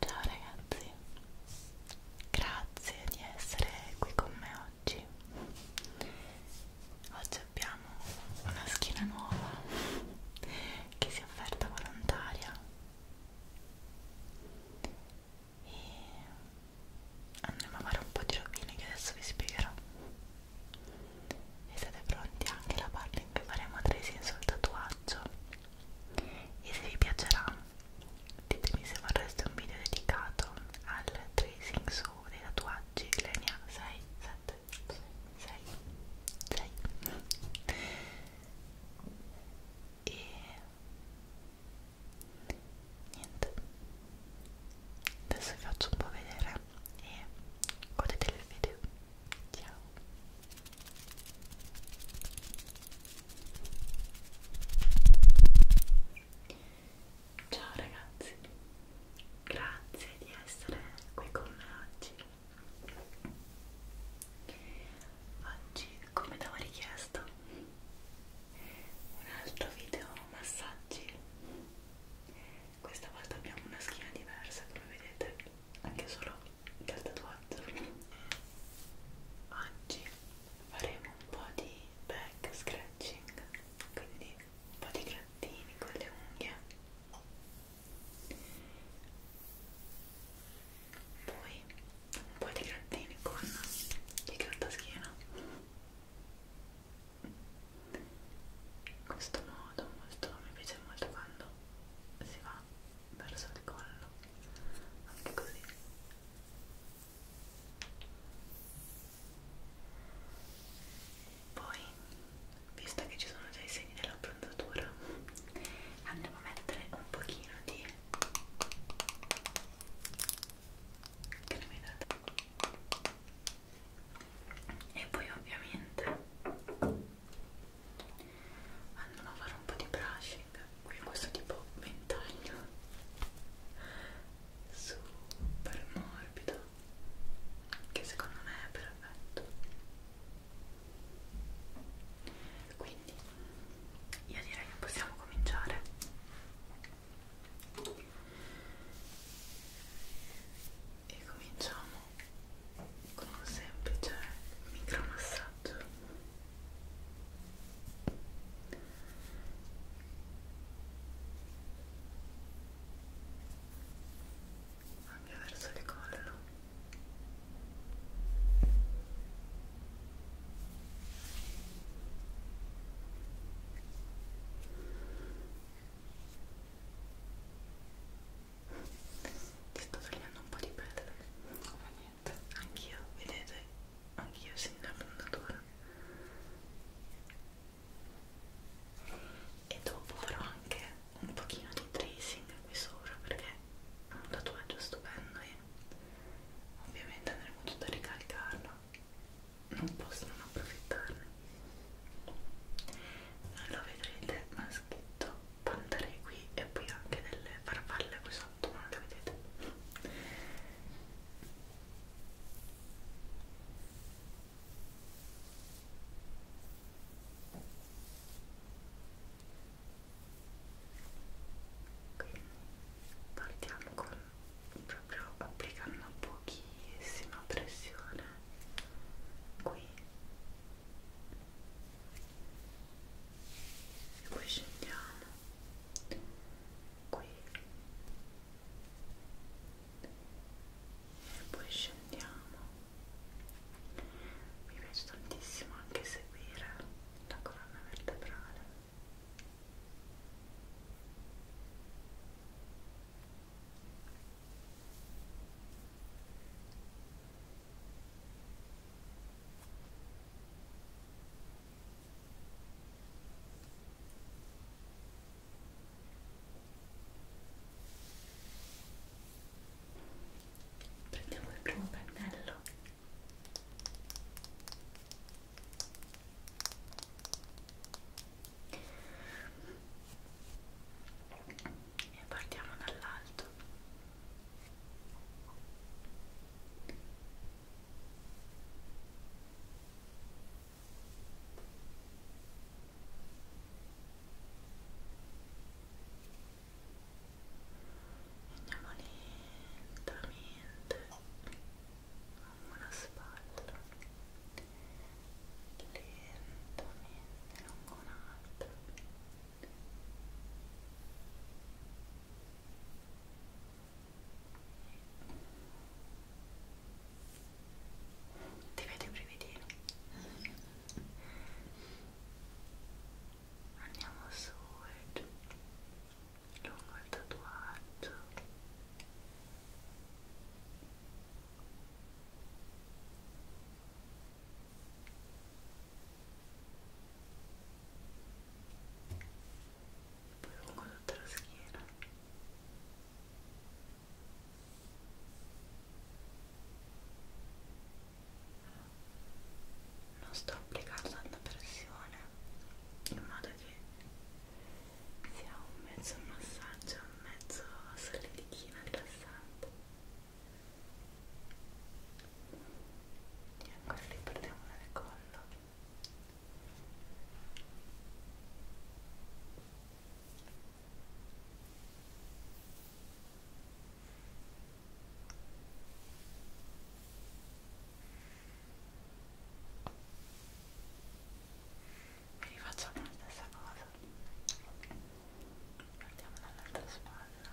Ciao ragazzi, grazie di essere qui con me oggi. Oggi abbiamo una schiena nuova che si è offerta volontaria e andremo a fare un po' di rovine che adesso vi spiegherò e siete pronti anche la parte in cui faremo tracing sul tatuaggio e se vi piacerà ditemi se vorreste un video dedicato al tracing su dei tatuaggi le ne ha 6, 7, 6, 6, 6 e niente adesso vi faccio un po' vedere e godete il video ciao ciao ragazzi grazie di essere qui con me oggi oggi come avevo richiesto un altro video massaggi questa volta abbiamo una schiena diversa come vedete anche solo dal tatuaggio oggi faremo un po' di back scratching quindi un po' di grattini con le unghie poi un po' di grattini con il grattaschino in questo modo molto, mi piace molto quando si va verso il collo anche così poi visto che ci sono già i segni dell'abbronzatura andiamo a mettere un pochino di che ne mi date e poi ovviamente andiamo a fare un po' di brushing qui questo tipo ventaglio super morbido che secondo me è perfetto quindi io direi che possiamo cominciare e cominciamo con un semplice micromassaggio anche verso il collo ti sto tagliando un po' di pelle, ma niente, anch'io, vedete, anch'io segno la fondatura. E dopo farò anche un pochino di tracing qui sopra perché un tatuaggio stupendo e ovviamente andremo tutto a ricalcarlo non posso non approfittarne non lo vedrete ma è scritto pantare qui e poi anche delle farfalle qui sotto non le vedete quindi partiamo con proprio applicando pochissima pressione qui e poi scendiamo qui e poi scendiamo mi piace tantissimo anche seguire la colonna vertebrale prendiamo il primo pennello e partiamo dall'alto e andiamo lentamente lungo la spalla lentamente lungo un'altra ti vedo i brividini andiamo su e giù lungo il tatuaggio poi lungo tutta la schiena e non sto applicando tanta pressione in modo che sia un mezzo massaggio un mezzo solidichino rilassante e ancora li portiamo nel collo vi rifacciamo la stessa cosa partiamo dall'altra spalla ok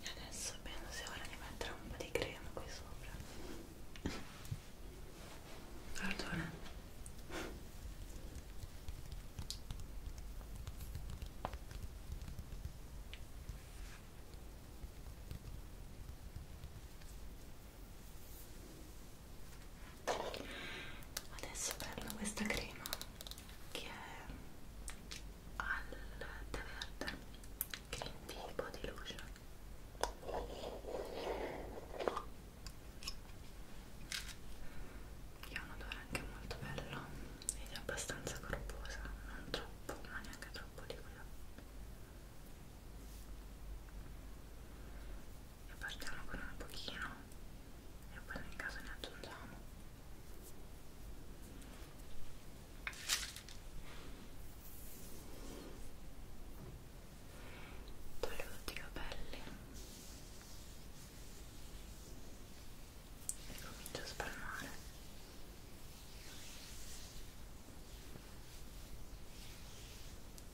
E adesso penso sia ora di mettere un po' di crema qui sopra. Perdona. Adesso prendo questa crema che è al tè verde, green tea body lotion. Che ha un odore anche molto bello ed è abbastanza corposa, non troppo, ma neanche troppo liquida e partiamo con un pochino e poi nel caso ne aggiungiamo toglio tutti i capelli e comincio a spalmare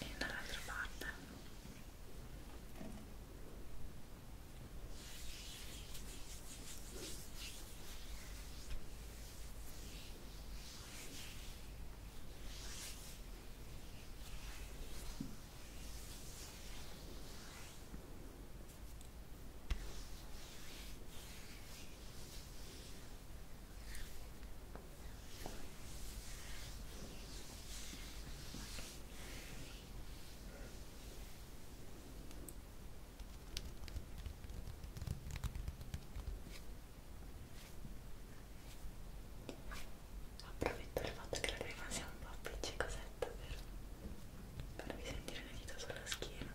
e dall'altra parte Approfitto del fatto che la crema sia un po' appiccicosetta per farvi sentire le dita sulla schiena.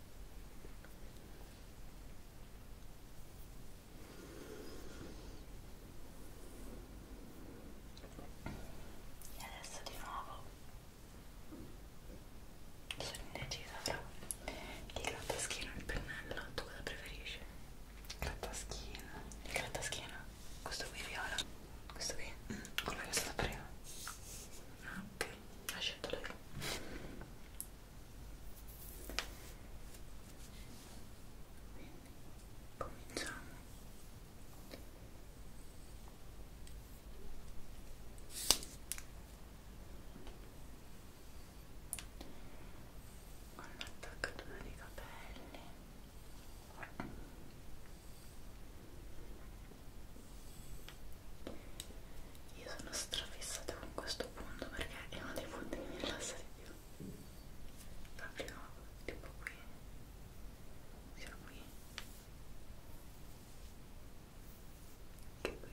e adesso di nuovo sono indecisa fra il grattaschino e il pennello tu cosa preferisci? grattaschino il grattaschino? questo qui viola? questo qui? Mm. quello che è stato prima? Ah, ok ha scelto lei quindi cominciamo con l'attaccatura dei capelli io sono strafissata con questo punto perché è uno dei punti che mi rilassa di più. Proprio tipo qui. Sia qui. Che qui.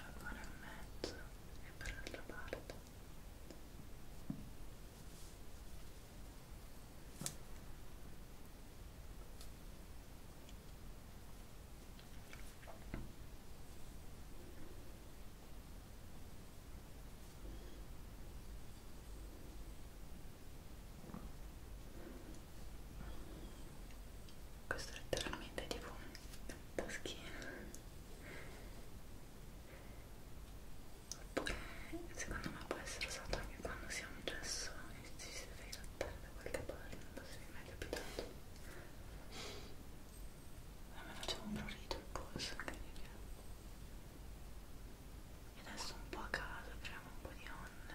ancora in mezzo e per l'altra parte ok questo è letteralmente tipo un taschino oppure secondo me può essere usato anche quando si ha un gesso e ci si deve grattare da qualche parte non so se vi è mai capitato a me faceva un prurito il polso incredibile e adesso un po' a caso creiamo un po' di onde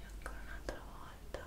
e ancora un'altra volta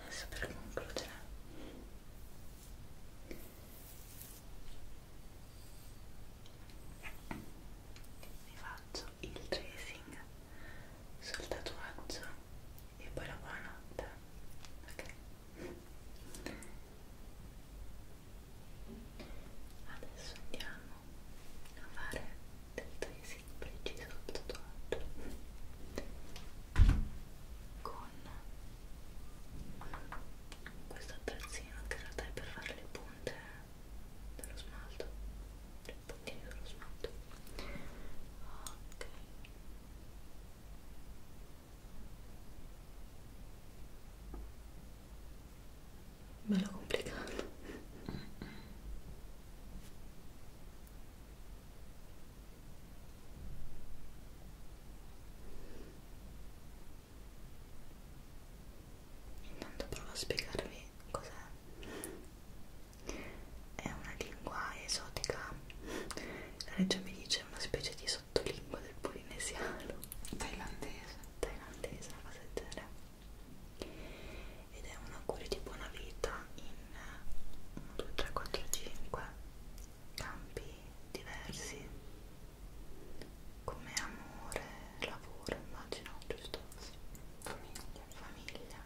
Adesso per concludere vi faccio il tracing sul tatuaggio e poi la buonanotte ok adesso andiamo a fare del tracing preciso sul tatuaggio con questo attrezzino che in realtà è per fare le punte dello smalto i puntini dello smalto ok ok bello complicato mm -mm. intanto provo a spiegarvi cos'è è una lingua esotica la regia mi dice una specie di sottolingua del polinesiano thailandese thailandese, una cosa del genere ed è un augurio di buona vita in 1, 2, 3, 4, 5 campi diversi come amore, lavoro, immagino, giusto? famiglia, famiglia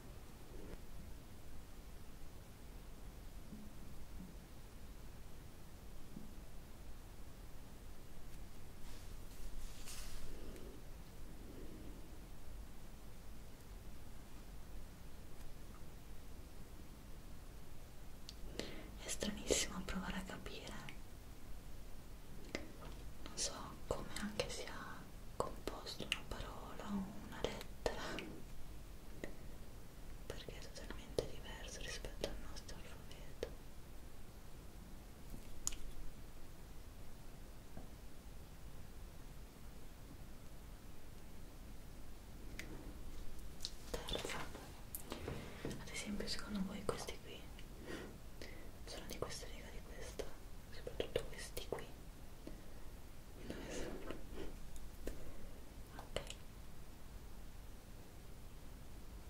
è stranissimo provare a capire, non so come anche sia composto una parola o una lettera, perché è totalmente diverso rispetto al nostro alfabeto terza ad esempio secondo voi questi qui sono di questa riga di questa soprattutto questi qui dove sono? ok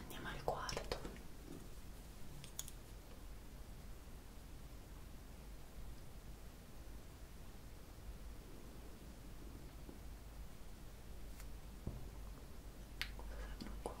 Andiamo al quarto. Cosa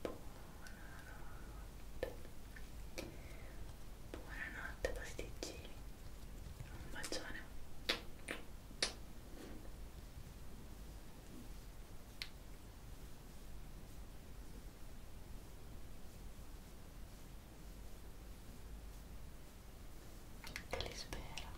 Buonanotte. Buonanotte pasticcini. Un bacione. Te li spero.